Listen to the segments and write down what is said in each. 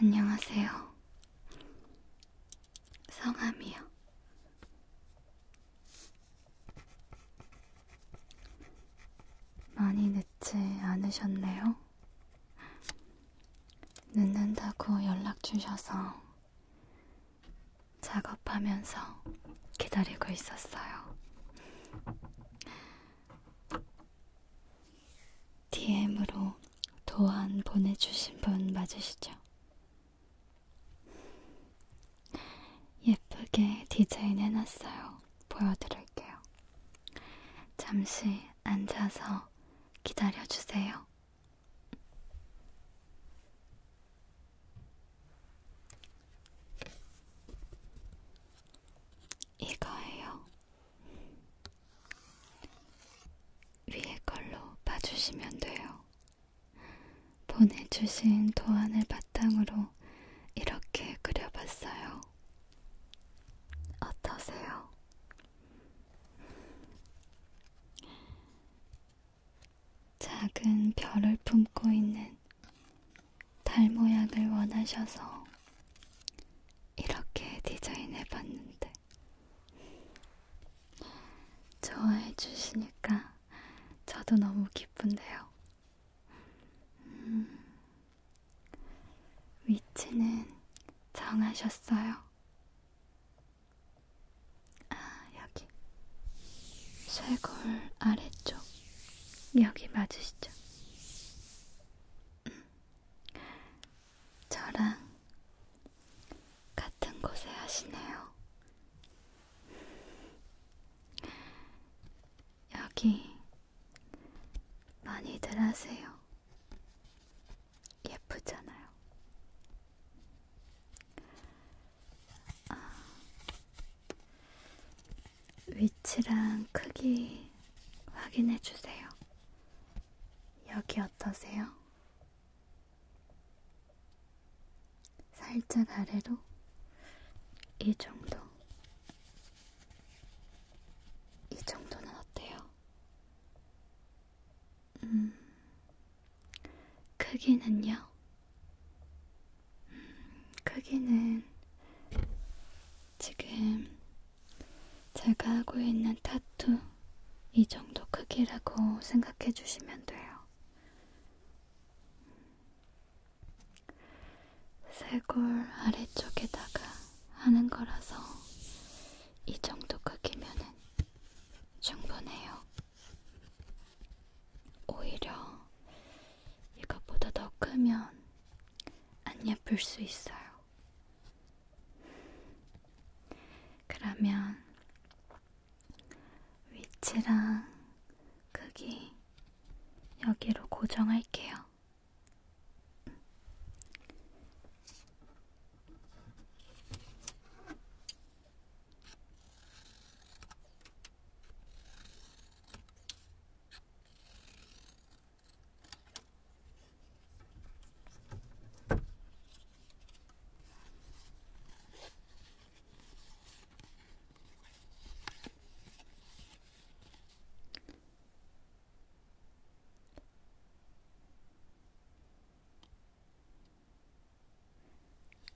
안녕하세요. 성함이요. 많이 늦지 않으셨네요. 늦는다고 연락 주셔서 작업하면서 기다리고 있었어요. DM으로 도안 보내주신 분 맞으시죠? 예쁘게 디자인해놨어요. 보여드릴게요. 잠시 앉아서 기다려주세요. 이거예요. 위에 걸로 봐주시면 돼요. 보내주신 도안을 바탕으로 이렇게 그려봤어요. 어떠세요? 작은 별을 품고 있는 달 모양을 원하셔서 이렇게 디자인해봤는데 좋아해주시니까 저도 너무 기쁜데요. 음, 위치는 정하셨어요? 아, 여기. 쇄골 아래쪽. 여기 맞으시죠? 음, 저랑 같은 곳에 하시네요. 여기 많이들 하세요. 예쁘잖아요. 아, 위치랑 크기 확인해 주세요. 여기 어떠세요? 살짝 아래로 이 정도. 이 정도는 어때요? 음, 크기는요? 음, 크기는 지금 제가 하고 있는 타투 이 정도 크기라고 생각해 주시면 돼요. 쇄골 아래쪽에다가 하는 거라서 이 정도 크기면은 충분해요. 오히려 이것보다 더 크면 안 예쁠 수 있어요. 그러면 위치랑 크기 여기로 고정할게요.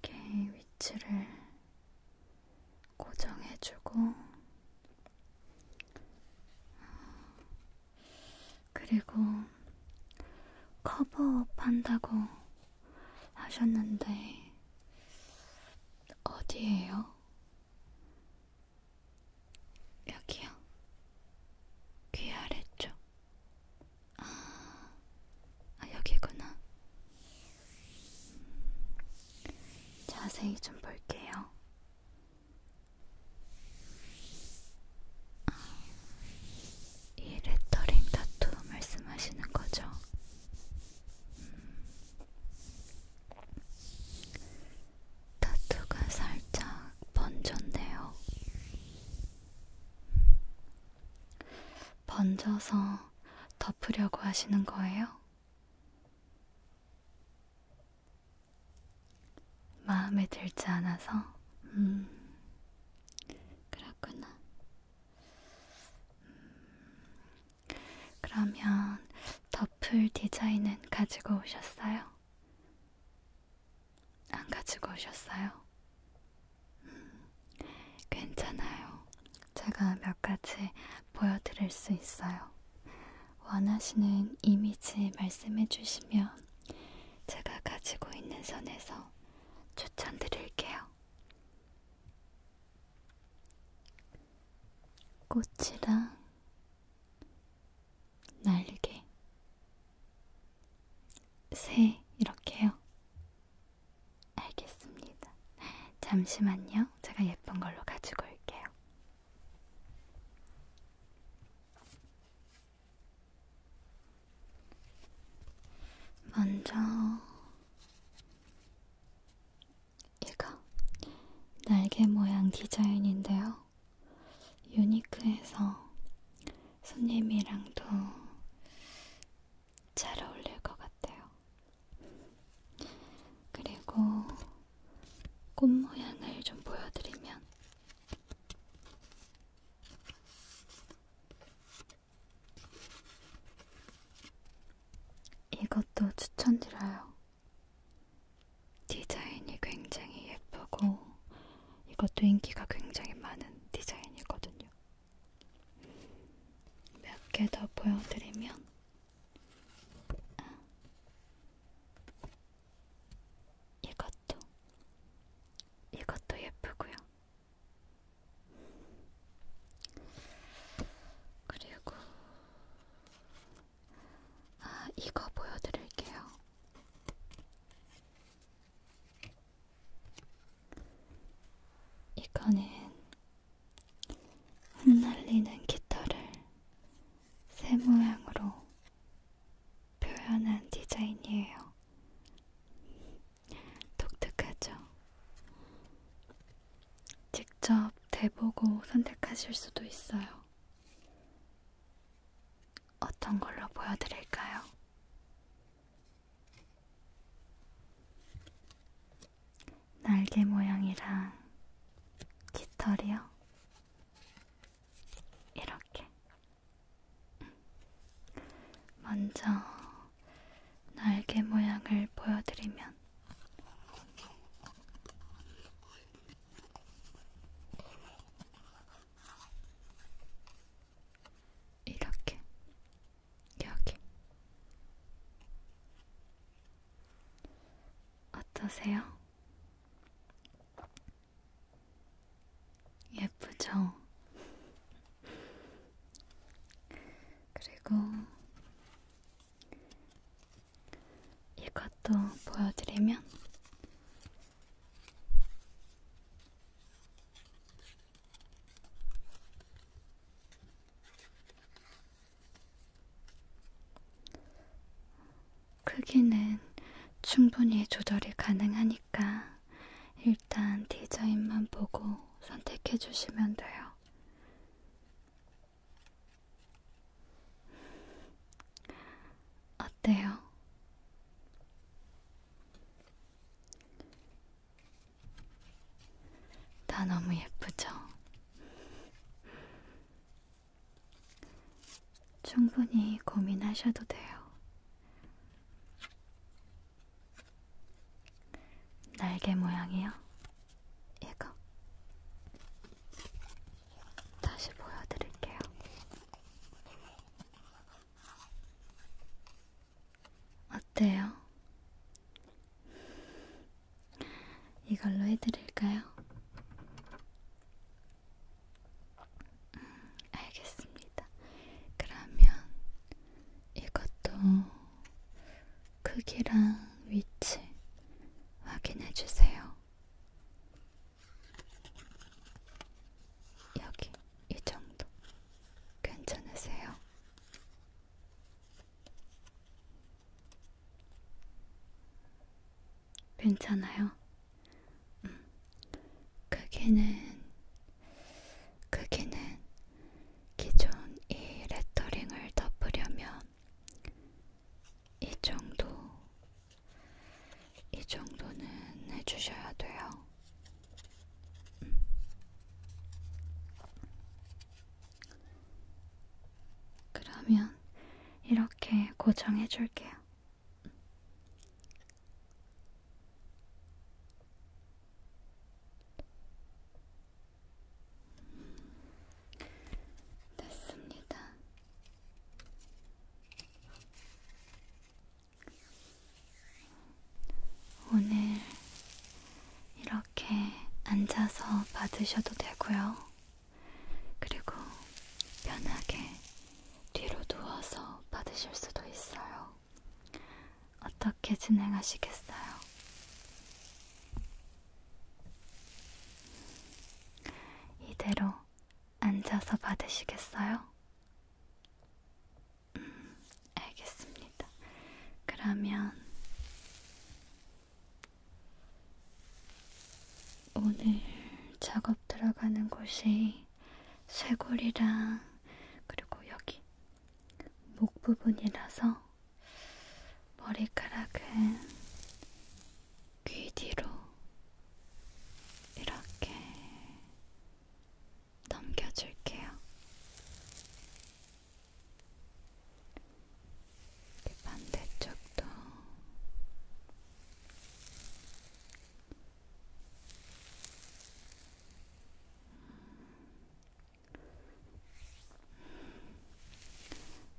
이렇게 위치를 고정해주고, 어, 그리고 커버업 한다고 하셨는데 어디에요? 여기요. 귀 아래쪽. 아, 아 여기구나. 자세히 좀 볼게요. 아, 이 레터링 타투 말씀하시는 거죠? 음. 타투가 살짝 번졌네요. 음. 번져서 덮으려고 하시는 거예요? 마음에 들지 않아서? 음, 그렇구나. 그러면 더플 디자인은 가지고 오셨어요? 안 가지고 오셨어요? 음, 괜찮아요. 제가 몇 가지 보여드릴 수 있어요. 원하시는 이미지 말씀해 주시면 제가 가지고 있는 선에서 추천드릴게요. 꽃이랑 날개 새 이렇게요. 알겠습니다. 잠시만요. 제가 예쁜 걸로 가지고 올게요. 먼저 이거 날개 모양 디자인인데요. 유니크해서 손님이랑도 잘 어울릴 것 같아요. 그리고 꽃 모양을 좀 보여드리면 이것도 추천드려요. 디자인이 굉장히 예쁘고 이것도 인기가 굉장히 많은 디자인이거든요. 몇 개 더 보여드리면 아. 이것도 이것도 예쁘고요. 그리고 아, 이거 보여드릴게요. 이거는 흩날리는 깃털을 새 모양으로 표현한 디자인이에요. 독특하죠? 직접 대보고 선택하실 수도 있어요. 어떤 걸로 보여드릴까요? 날개 모양이랑 깃털이요? 이렇게 먼저 날개 모양을 보여드리면 이렇게 여기 어떠세요? 예쁘죠? 그리고 이것도 보여드리면 크기는 충분히 조절이 가능하니까 테니까 일단 디자인만 보고 선택해 주시면 돼요. 어때요? 다 너무 예쁘죠? 충분히 고민하셔도 돼요. 날개 모양이요? 이거 다시 보여드릴게요. 어때요? 이걸로 해드릴까요? 음, 알겠습니다. 그러면 이것도 크기랑 위치 확인해 주세요. 여기 이 정도 괜찮으세요? 괜찮아요. 음. 크기는 크기는 기존 이 레터링을 덮으려면 이 정도 이 정도는 해주셔야 돼요. 음. 그러면 이렇게 고정해 줄게요. 됐습니다. 오늘 이렇게 앉아서 받으셔도 되고요. 그리고 편하게 뒤로 누워서 받으실 수도 있어요. 어떻게 진행하시겠어요? 이대로 앉아서 받으시겠어요? 음, 알겠습니다. 그러면 오늘 작업 들어가는 곳이 쇄골이랑 그리고 여기 목 부분이라서 머리카락은 귀 뒤로 이렇게 넘겨줄게요. 반대쪽도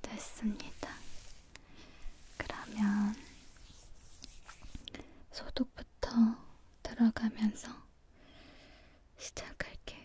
됐습니다. 그러면 소독부터 들어가면서 시작할게요.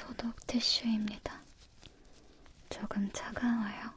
소독 티슈입니다. 조금 차가워요.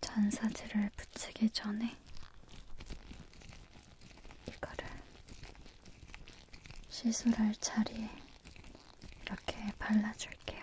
잔사지를 붙이기 전에 이거를 시술할 자리에 이렇게 발라줄게요.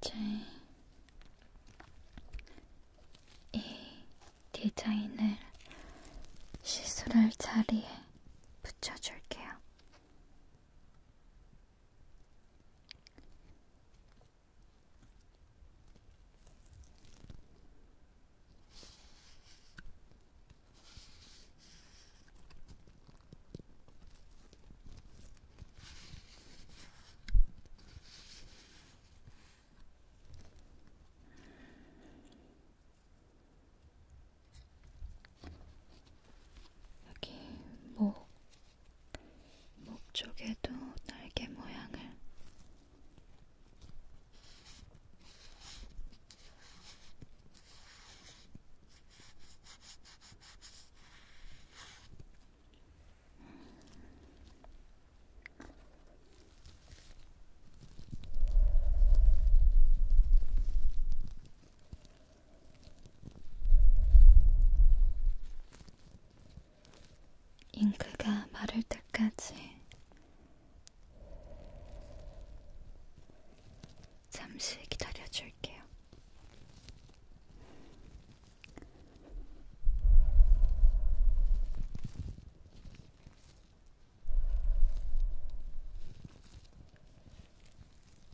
이제 이 디자인을 시술할 자리에 붙여줄게요. 여기 목 뭐목 쪽에도 날개 모양을 음. 잉크가 마를 때까지 잠시 기다려줄게요.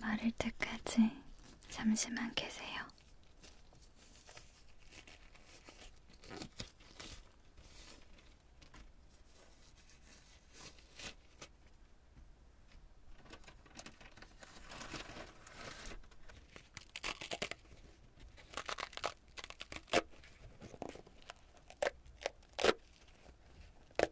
마를 때까지 잠시만 계세요.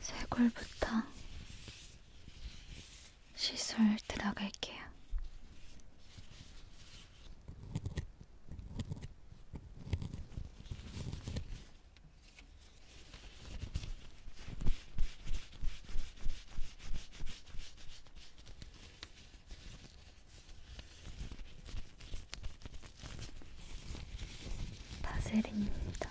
쇄골부터 시술 들어갈게요. 바세린입니다.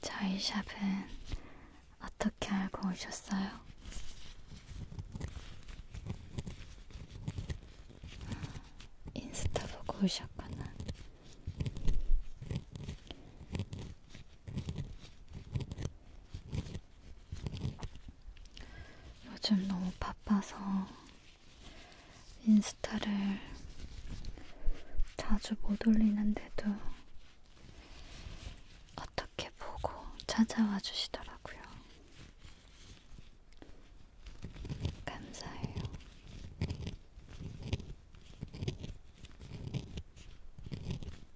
저희 샵은 어떻게 알고 오셨어요? 인스타 보고 오셨구나. 요즘 너무 바빠서 인스타를 자주 못 올리는데도 어떻게 보고 찾아와 주시더라고요. 감사해요.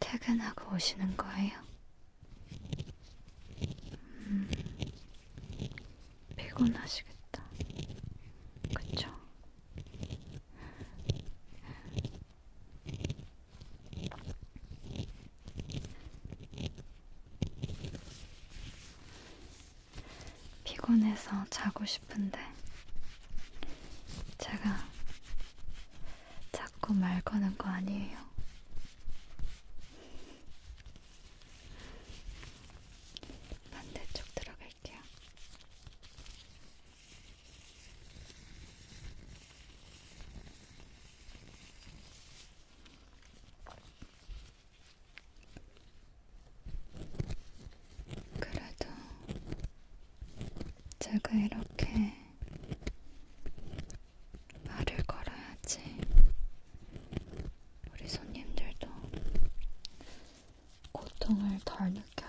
퇴근하고 오시는 거예요? 음, 피곤하시겠다. 그쵸? 피곤해서 자고 싶은데 제가 자꾸 말 거는 거 아니에요. 반대쪽 들어갈게요. 그래도 제가 이렇게 말을 걸어야지 우리 손님들도 고통을 덜 느껴요.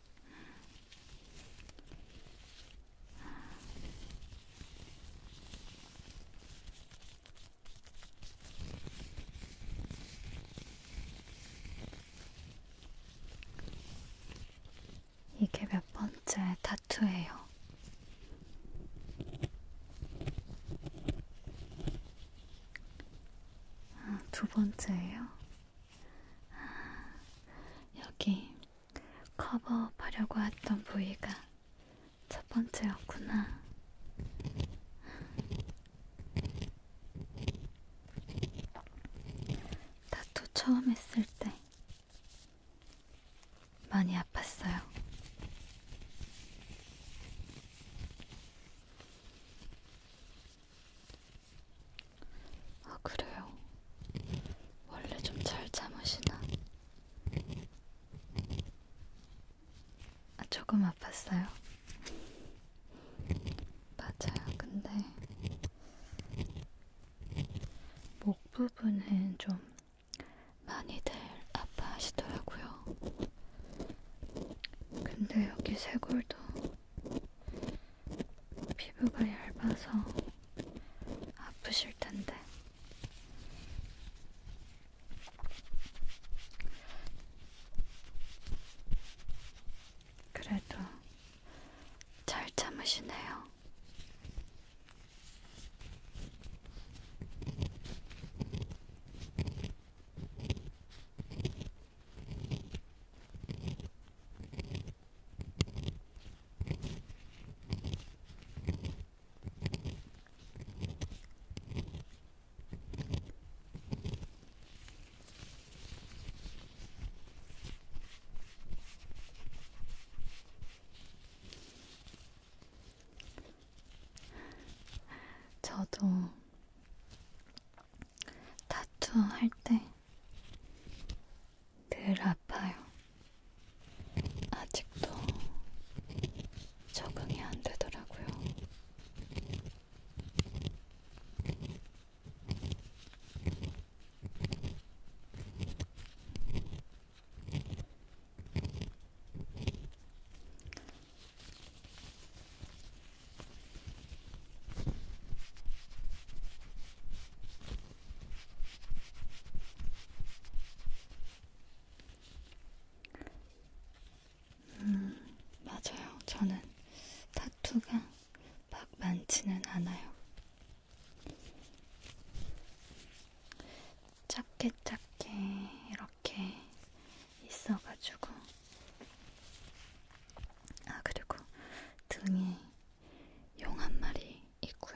이게 몇 번째 타투예요. 아, 두 번째예요. 아, 여기 커버하려고 했던 부위가 첫 번째였구나. 다토 처음 했을 때 많이 아팠어요. 아 그래요? 원래 좀 잘 참으시나? 아, 조금 아팠어요. 맞아요. 근데 목 부분은 좀 많이들 아파하시더라고요. 근데 여기 쇄골도 피부가 얇아서 아프실 텐데. 그래도 잘 참으시네요. 저도 타투 할때 늘 아파요. 아직도 적응이 안 되더라고요. 음, 맞아요. 저는 타투가 막 많지는 않아요. 작게 작게 이렇게 있어가지고 아 그리고 등에 용한 마리 있고요.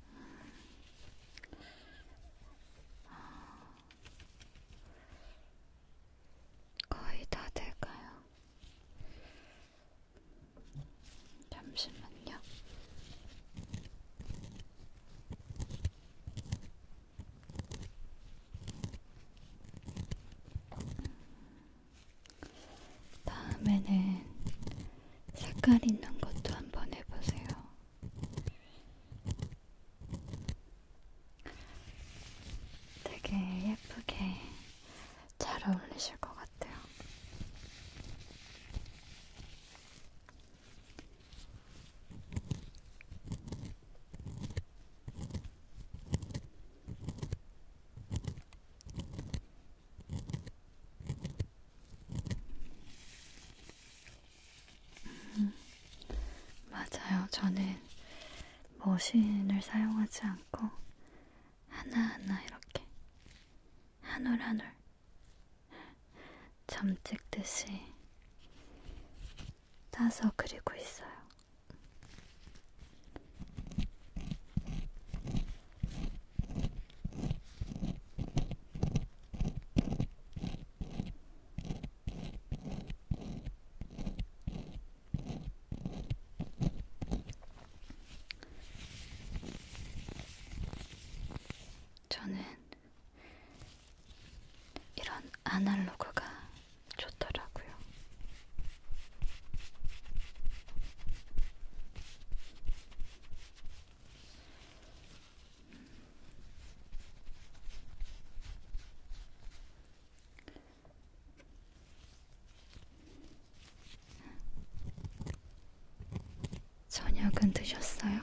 거의 다 될까요? 잠시만요. 다음에는 색깔 있는 것도 한번 해보세요. 되게 예쁘게 잘 어울리실 것 같아요. 음, 맞아요. 저는 머신을 사용하지 않고 하나하나 이렇게 한올한올점 찍듯이 따서 그리고 있어요. 저는 이런 아날로그가 좋더라고요. 저녁은 드셨어요?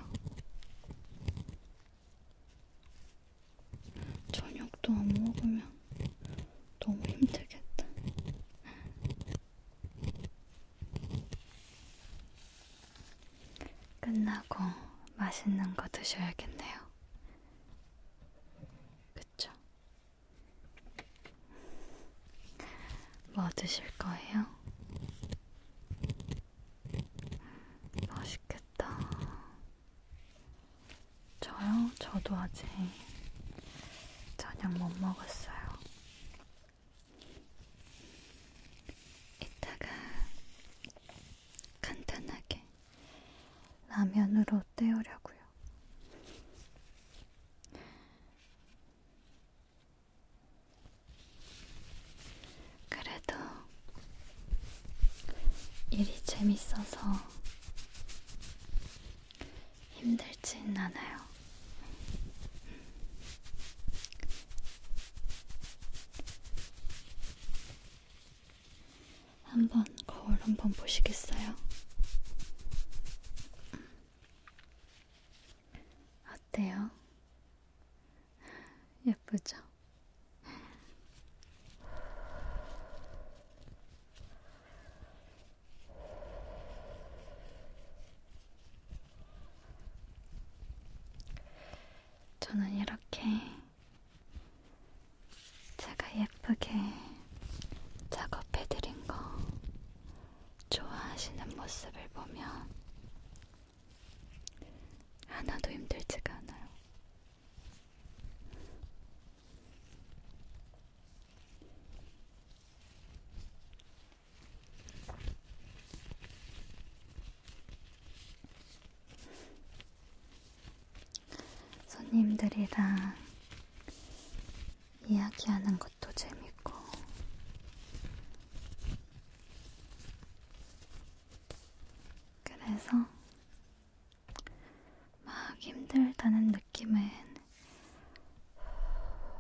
저녁도 안 먹으면 너무 힘들겠다. 끝나고 맛있는 거 드셔야겠네요. 그쵸? 뭐 드실 거예요? 맛있겠다. 저요? 저도 아직 저녁 못 먹었어요. 이따가 간단하게 라면으로 때우려고요. 그래도 일이 재밌어서 힘들진 않아요. 한번 거울 한번 보시겠어요? 어때요? 예쁘죠? 저는 이렇게 제가 예쁘게 작업해드린 거 좋아하시는 모습을 보면 하나도 힘들지가 않아요. 손님들이랑 이야기하는 것도 재밌고, 그래서 막 힘들다는 느낌은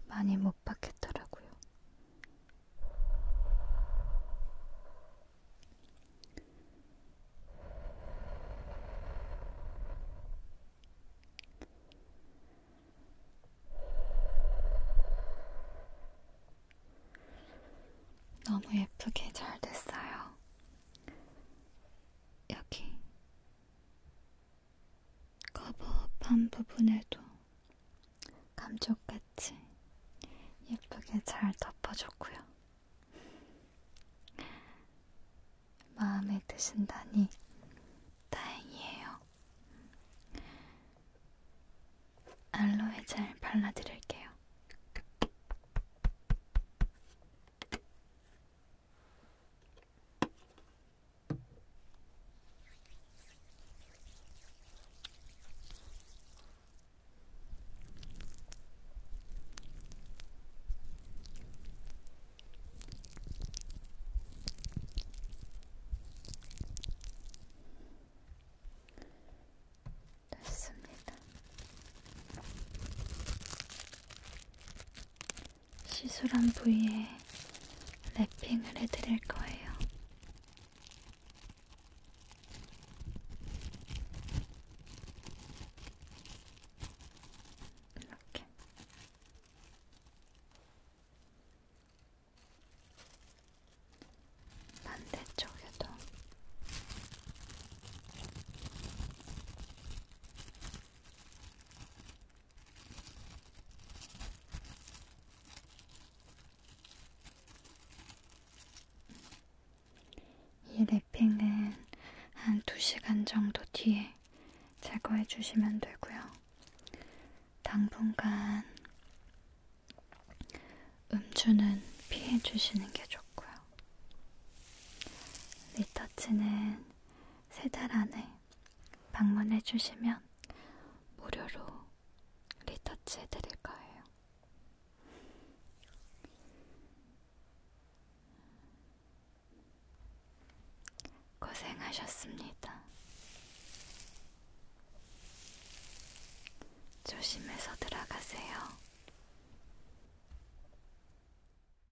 많이 못 받겠더라고요. 너무 예쁘게 잘 됐어요. 여기 커버업한 부분에도 감쪽같이 예쁘게 잘 덮어줬고요. 마음에 드신다니 다행이에요. 알로에 잘 발라드릴게요. 됐습니다. 시술한 부위에 랩핑을 해드릴 거예요. 이렇게. 반대쪽에도 이 랩핑은 한 2시간 정도 뒤에 제거해 주시면 되고요. 당분간 음주는 피해 주시는 게 좋고요. 리터치는 세달 안에 방문해 주시면 무료로 리터치 해드릴 거예요. 고생하셨습니다. 조심해서 들어가세요.